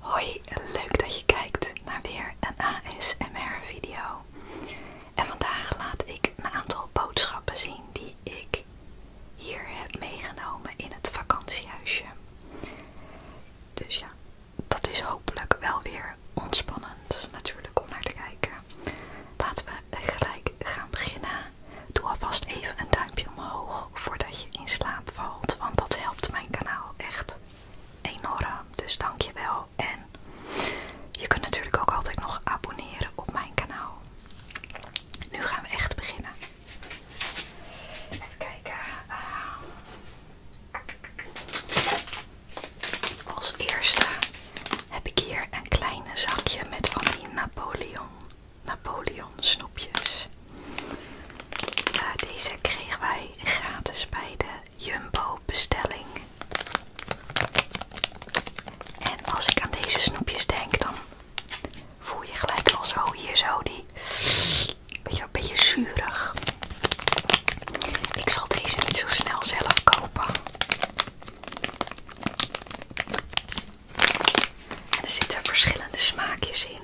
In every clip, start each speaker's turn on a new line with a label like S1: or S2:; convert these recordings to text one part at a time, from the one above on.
S1: Hoi, leuk dat je kijkt naar weer een ASMR video. En vandaag laat ik een aantal boodschappen zien die ik hier heb meegenomen in het vakantiehuisje. Dus ja, dat is hopelijk wel weer ontspannend natuurlijk om naar te kijken. Laten we gelijk gaan beginnen. Doe alvast even een duimpje omhoog voordat je in slaap valt, want dat helpt mijn kanaal echt enorm. Dus dank je wel. En je kunt natuurlijk ook altijd nog abonneren op mijn kanaal. Nu gaan we echt beginnen. Even kijken. Eh, als eerste heb ik hier een kleine zakje met van die Napoleon Napoleon snoepjes. Maar eh, deze kregen wij gratis bij de Jumbo bestelling. En als ik aan deze snoepjes denk, dan voel je gelijk al zo hier zo die beetje, een beetje zuurig. Ik zal deze niet zo snel zelf kopen. En er zitten verschillende smaakjes in.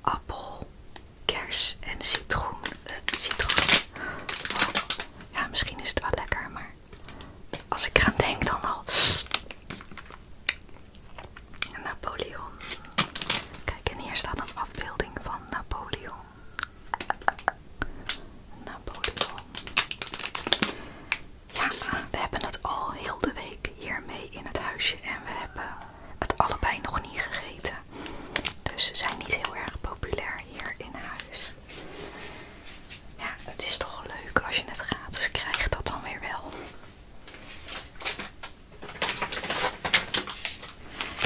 S1: Appel, kers en citroen. Eh, citroen. Ja, misschien is het wel lekker, maar als ik eraan denk dan al. Napoleon. Kijk, en hier staat een afbeelding van Napoleon. Napoleon. Ja, we hebben het al heel de week hiermee in het huisje en we hebben het allebei nog niet gegeten. Dus ze zijn niet heel erg populair hier in huis. Ja, het is toch leuk als je het gratis krijgt, dat dan weer wel.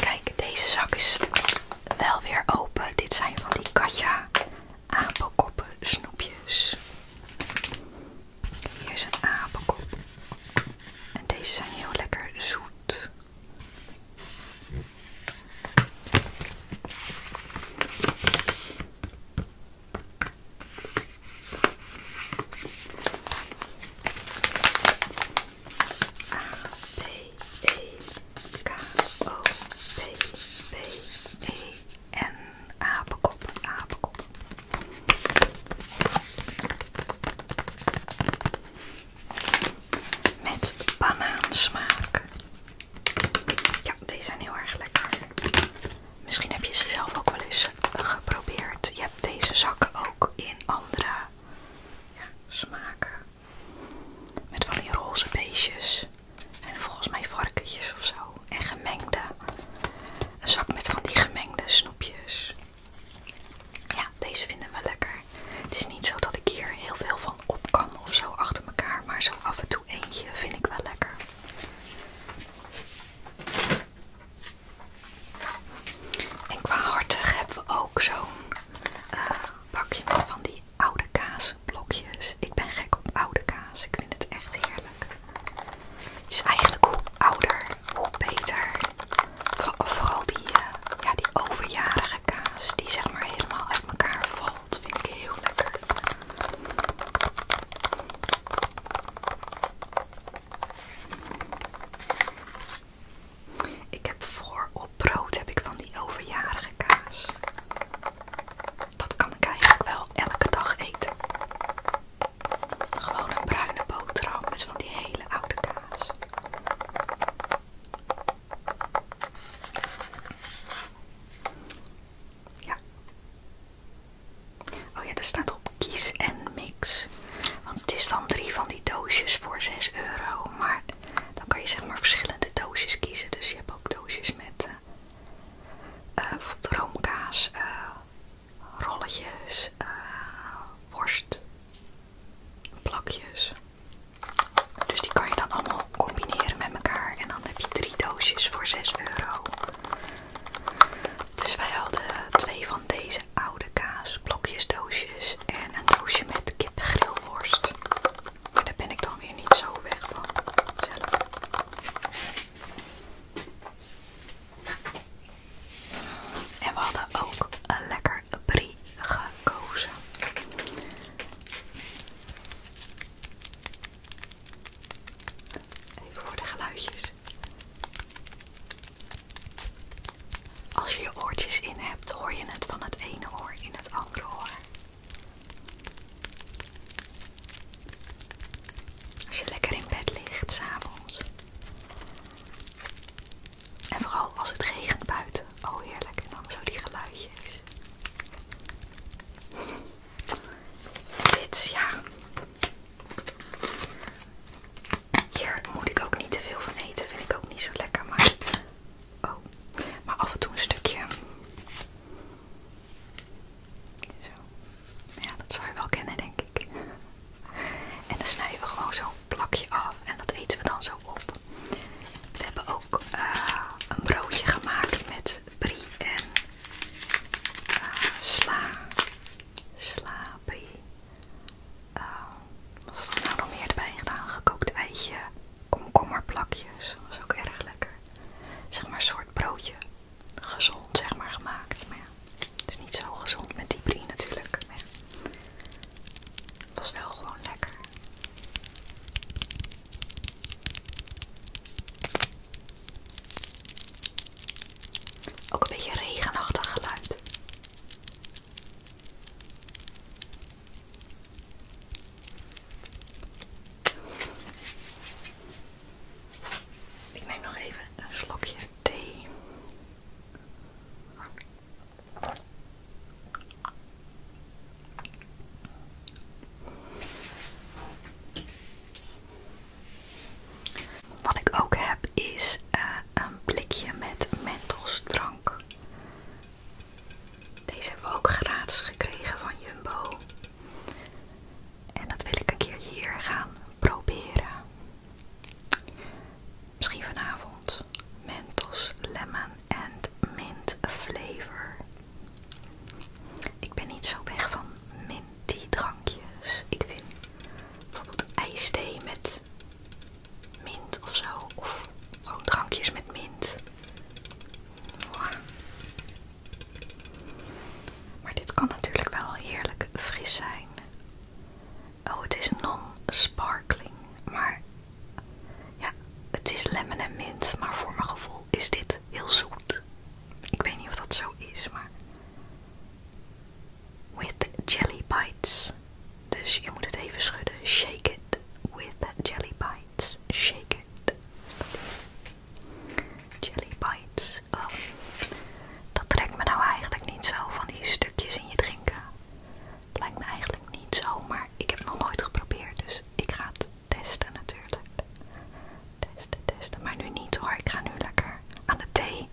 S1: Kijk, deze zak is wel weer open. Dit zijn van die Katja apenkoppen snoepjes. Hier is een En deze zijn heel lekker zoet. A, E, E, en apenkop, apenkop. Met banaansmaak. Ja, deze zijn heel erg lekker. Misschien heb je ze zelf ook wel eens geprobeerd. Je hebt deze zakken ook in andere smaken. Met van die roze beestjes. En volgens mij varkentjes of zo en gemengde. Een zak met van die gemengde snoepjes. Ja, deze vinden we lekker. Het is niet zo dat ik hier heel veel van op kan of zo achter elkaar, maar zo af en toe eentje vind ik wel lekker. En qua hartig hebben we ook zo'n eh, bakje met van die oude kaasblokjes. Ik ben gek op oude kaas. Ik vind het echt heerlijk. Het is eigenlijk hoe ouder, hoe beter. vooral die, eh, ja, die overjarige kaas die zeg maar helemaal uit elkaar valt, vind ik heel lekker. Ik heb voor op brood heb ik van die overjarige kaas dat kan ik eigenlijk wel elke dag eten. Gewoon een bruine boterham met zo'n die hele oude kaas. Ja. Oh ja, er staat op kies en mix. Want het is dan drie van die doosjes voor 6 euro. Maar dan kan je zeg maar verschillende doosjes kiezen. Dus je hebt ook doosjes met eh, uh, eh, bijvoorbeeld roomkaas, eh, rolletjes, eh, worst, plakjes. Dus die kan je dan allemaal combineren met elkaar. En dan heb je drie doosjes voor 6 euro. Dus wij hadden twee van deze oude kaas, blokjes, doosjes en een doosje met kipgrillworst. Maar daar ben ik dan weer niet zo weg van zelf. En we hadden ook een lekker brie gekozen. Even voor de geluidjes. Als je je oortjes in hebt, hoor je het van het ene oor in het andere oor. Als je lekker in bed ligt, s'avonds. En vooral als het regent buiten. Oh heerlijk, en dan zo die geluidjes. Dit, ja. Hier moet ik ook niet te veel van eten, vind ik ook niet zo lekker. Maar, oh. maar af en toe een stukje zo. Ja, dat zou je wel kennen, denk ik. En dan snijden we gewoon zo'n plakje af en dat eten we dan zo op. We hebben ook eh, een broodje gemaakt met brie en eh, sla. Sla, brie. Uh, wat nou nog meer erbij gedaan? Gekookt eitje komkommerplakjes. was ook erg lekker. Zeg maar soort broodje. Gezond, zeg maar, gemaakt. Maar ja, het is niet zo gezond met die brie natuurlijk. Maar was wel gewoon lekker. Ook een beetje regenachtig geluid. Ik neem nog even een slokje thee. Wat ik ook heb is eh, een blikje met drank. Deze hebben we ook gratis gekregen van Jumbo. En dat wil ik een keer hier gaan proberen. Misschien vanavond. Mentos, lemon and mint flavor. Ik ben niet zo weg van minty drankjes. Ik vind bijvoorbeeld ijsthee met mint of zo. Of gewoon drankjes met mint. Maar dit kan natuurlijk wel heerlijk fris zijn. Oh, het is non-sparkling, maar ja, het is lemon en mint, maar voor mijn gevoel is dit heel zoet. Ik weet niet of dat zo is, maar with jelly bites. Dus je moet het even schudden. Shake it with jelly bites. Shake it. Jelly bites. Oh. Dat trekt me nou eigenlijk niet zo van die stukjes in je drinken. Lijkt me eigenlijk niet zo, maar ik heb het nog nooit geprobeerd. Dus ik ga het testen natuurlijk. Testen, testen. Maar nu niet hoor. Ik ga nu lekker aan de thee.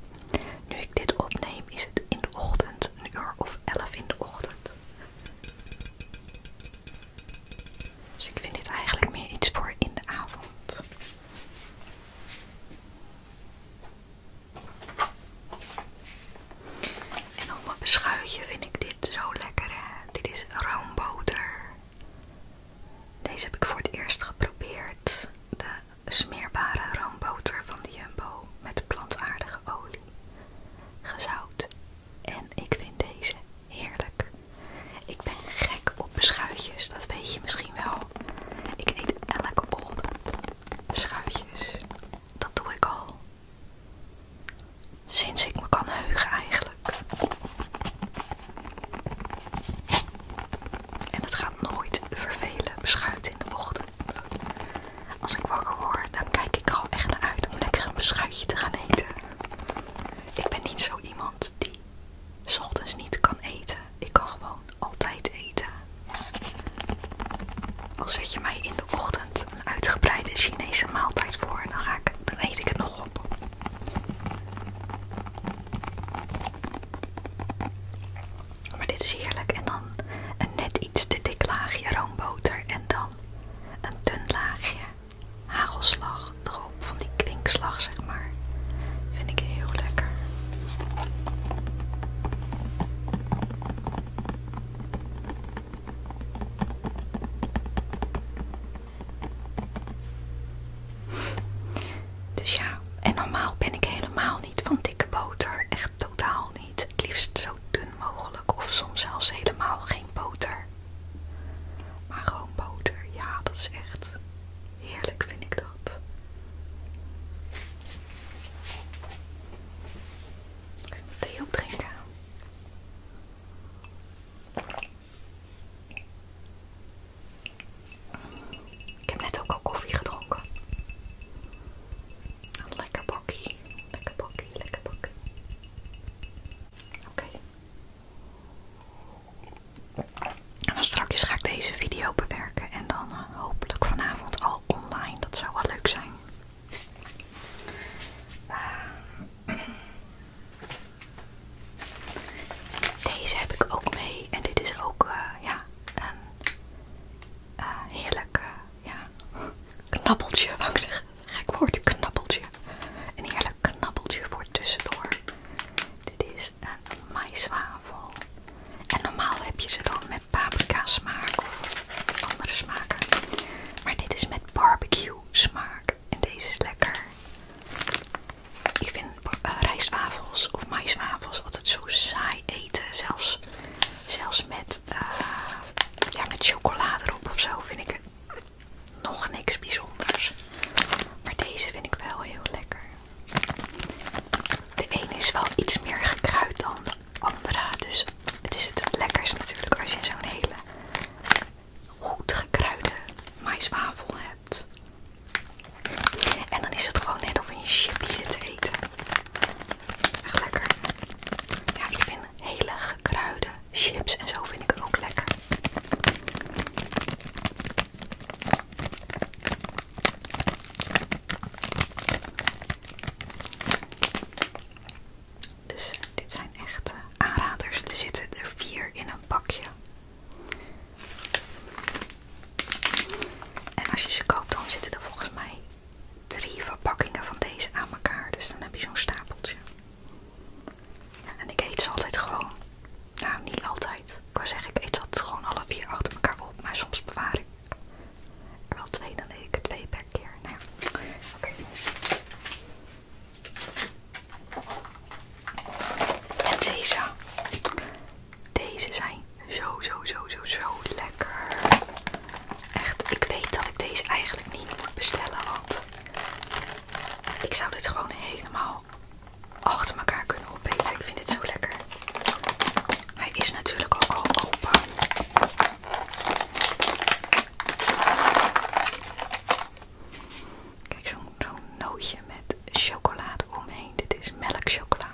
S1: Nu ik dit opneem is het in de ochtend. Een uur of elf in de ochtend. Dus ik vind dit eigenlijk meer iets voor in de avond. En op mijn beschuitje vind ik dit zo lekker. Hè? Dit is roomboter. Deze heb ik voor het eerst geprobeerd. De smeerbare roomboter van de Jumbo met plantaardige olie gezout. En ik vind deze heerlijk. Ik ben gek op beschuitjes, dat weet je misschien wel. Ik eet elke ochtend beschuitjes. Dat doe ik al. Sinds ik me kan heugen eigenlijk. En het gaat nooit vervelen, beschuit in de ochtend. Als ik wakker word, dan kijk ik er al echt naar uit om lekker een beschuitje te gaan eten. Ik ben niet zo iemand die 's ochtends niet kan eten. Ik kan gewoon altijd eten. Al zet je mij in de ochtend een uitgebreide Chinese maaltijd voor, dan, dan eet ik het nog op. Maar dit is heerlijk. En dan een net iets te dik laagje roomboter. En dan een dun laagje hagelslag erop. Van die kwinkslag, zeg maar. Vind ik heel lekker. Dus ja, en normaal ben ik helemaal niet van dikke boter. echt totaal niet. Het liefst zo dun mogelijk of soms zelfs helemaal geen boter. Maar gewoon boter, ja, dat is echt heerlijk, vind ik dat. Ga ik thee opdrinken? Ik heb net ook al koffie gedronken. Lekker bakkie. Lekker bakkie, lekker bakkie. Oké. En dan straks ga ik deze video bewerken en dan eh, hopelijk vanavond al online. Dat zou wel leuk zijn. Ehm, deze heb ik ook mee en dit is ook eh, ja, een eh, heerlijk eh, ja, knabbeltje, wou ik zeggen. Gek woord, knabbeltje. Een heerlijk knabbeltje voor tussendoor. Dit is een maïswafel. En normaal heb je ze dan met paprika smaak of andere smaken. Maar dit is met barbecue smaak. En deze is lekker. Ik vind uh, of maïswafels altijd zo saai eten. Zelfs zelfs, met, eh, ja, met chocolade erop of zo vind ik het nog niks bijzonders. Maar deze vind ik wel heel lekker. De ene is wel iets meer gekruid dan de andere. Dus het is het lekkerst natuurlijk als je zo'n hele goed gekruide maiswafel hebt. En dan is het gewoon net of je een chipje zit te eten. Echt lekker. Ja, ik vind hele gekruide chips en zo vind ik hem ook lekker. Dus eh, dit zijn echte eh, aanraders. Er zitten er vier in een pakje. En als je ze koopt, dan zitten er volgens mij drie verpakkingen van deze aan elkaar. Dus dan heb je zo'n stapeltje. en ik eet ze altijd gewoon. Nou, niet altijd. Ik wou zeggen, ik eet ze altijd gewoon alle vier achter elkaar op. Maar soms bewaar ik er wel twee, dan eet ik er twee per keer. Nou ja, oké. En deze. Deze zijn zo, zo, zo, zo, zo lekker. Echt, ik weet dat ik deze eigenlijk niet moet bestellen, want ik zou dit gewoon helemaal achter elkaar kunnen opeten. Ik vind het zo lekker. Hij is natuurlijk ook al open. Kijk, zo'n nootje met chocolade omheen. Dit is melkchocola.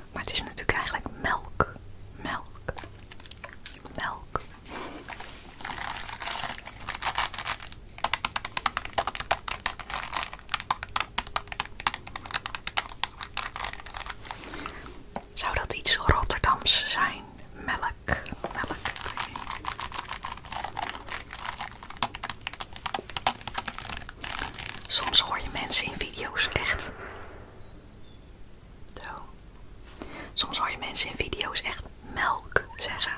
S1: Maar het is natuurlijk eigenlijk melk. Melk. Melk. Zou dat iets Rotterdams zijn? Melk. Melk. Soms hoor je mensen in video's echt. Zo. Soms hoor je mensen in video's echt melk zeggen.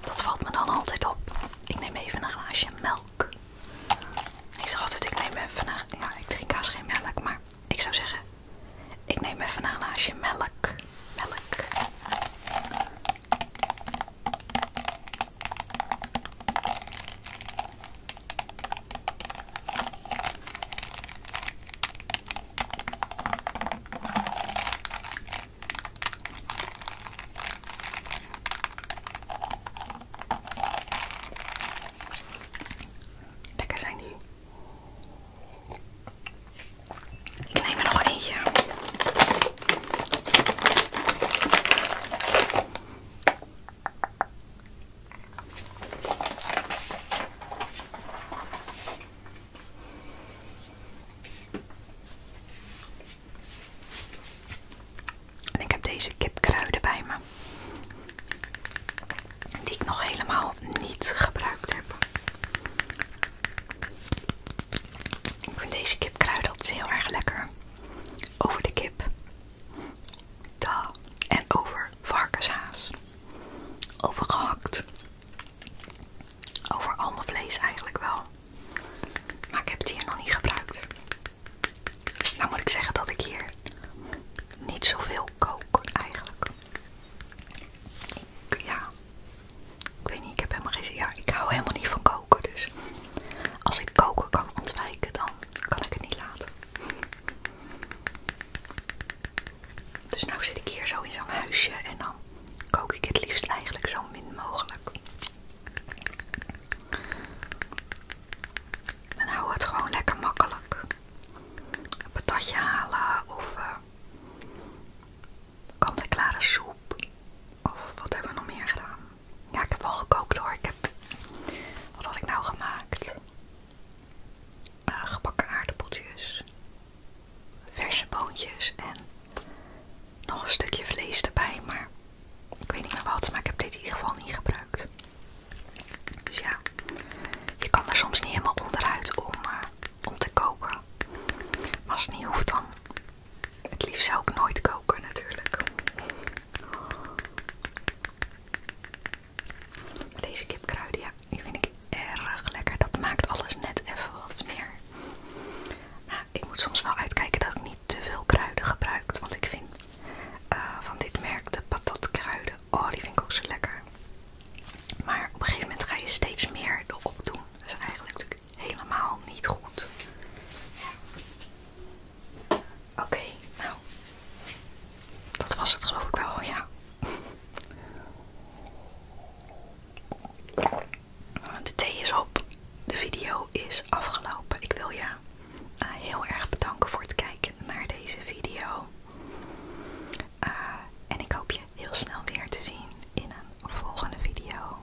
S1: Dat valt me dan altijd op. Ik neem even een glaasje melk. Ik zeg altijd, ik neem even een... Ja, ik drink kaas geen melk, maar ik zou zeggen... Ik neem even een glaasje melk. Melk. Lekker zijn die. Ik neem er nog eentje. En ik heb deze kipkruiden bij me, die ik nog helemaal niet gebruikt heb. Ik vind deze kipkruiden altijd heel erg lekker over de kip. En over varkenshaas. Over gehakt. Over al vlees eigenlijk wel. Maar ik heb het hier nog niet gebruikt. Nou moet ik zeggen dat ik hier niet zoveel kook eigenlijk. Ik, ja, ik weet niet, ik heb helemaal geen zin. Ja, ik hou helemaal niet van koken, dus als ik koken kan ontwijken, dan kan ik het niet laten. Dus nu zit ik hier zo in zo'n huisje en dan kook ik het liefst eigenlijk zo min mogelijk. Dan hou het gewoon lekker makkelijk. Een patatje halen of eh, kant-en-klare soep. Of wat hebben we nog meer gedaan? Ja, ik heb wel gekookt hoor. Ik heb... Wat had ik nou gemaakt? Eh, gebakken aardappeltjes. Verse boontjes en nog een stukje vlees erbij, maar ik weet niet meer wat, maar ik heb dit in ieder geval niet gebruikt. Dus ja, je kan er soms niet helemaal onderuit om, eh, om te koken. Maar als het niet hoeft, dan het liefst zou ik nooit koken natuurlijk. Deze kipkruiden, ja, die vind ik erg lekker. Dat maakt alles net even wat meer. Nou, ik moet soms wel uitkijken dat ik niet te veel kruiden gebruik. Want ik vind eh, van dit merk de patatkruiden, oh die vind ik ook zo lekker. Maar op een gegeven moment ga je steeds meer erop doen. Dat is eigenlijk helemaal niet goed. Oké, nou. Dat was het geloof ik wel, ja. De thee is op. De video is afgelopen. Ik wil je eh, heel erg bedanken voor het kijken naar deze video. Eh, en ik hoop je heel snel weer te zien in een volgende video.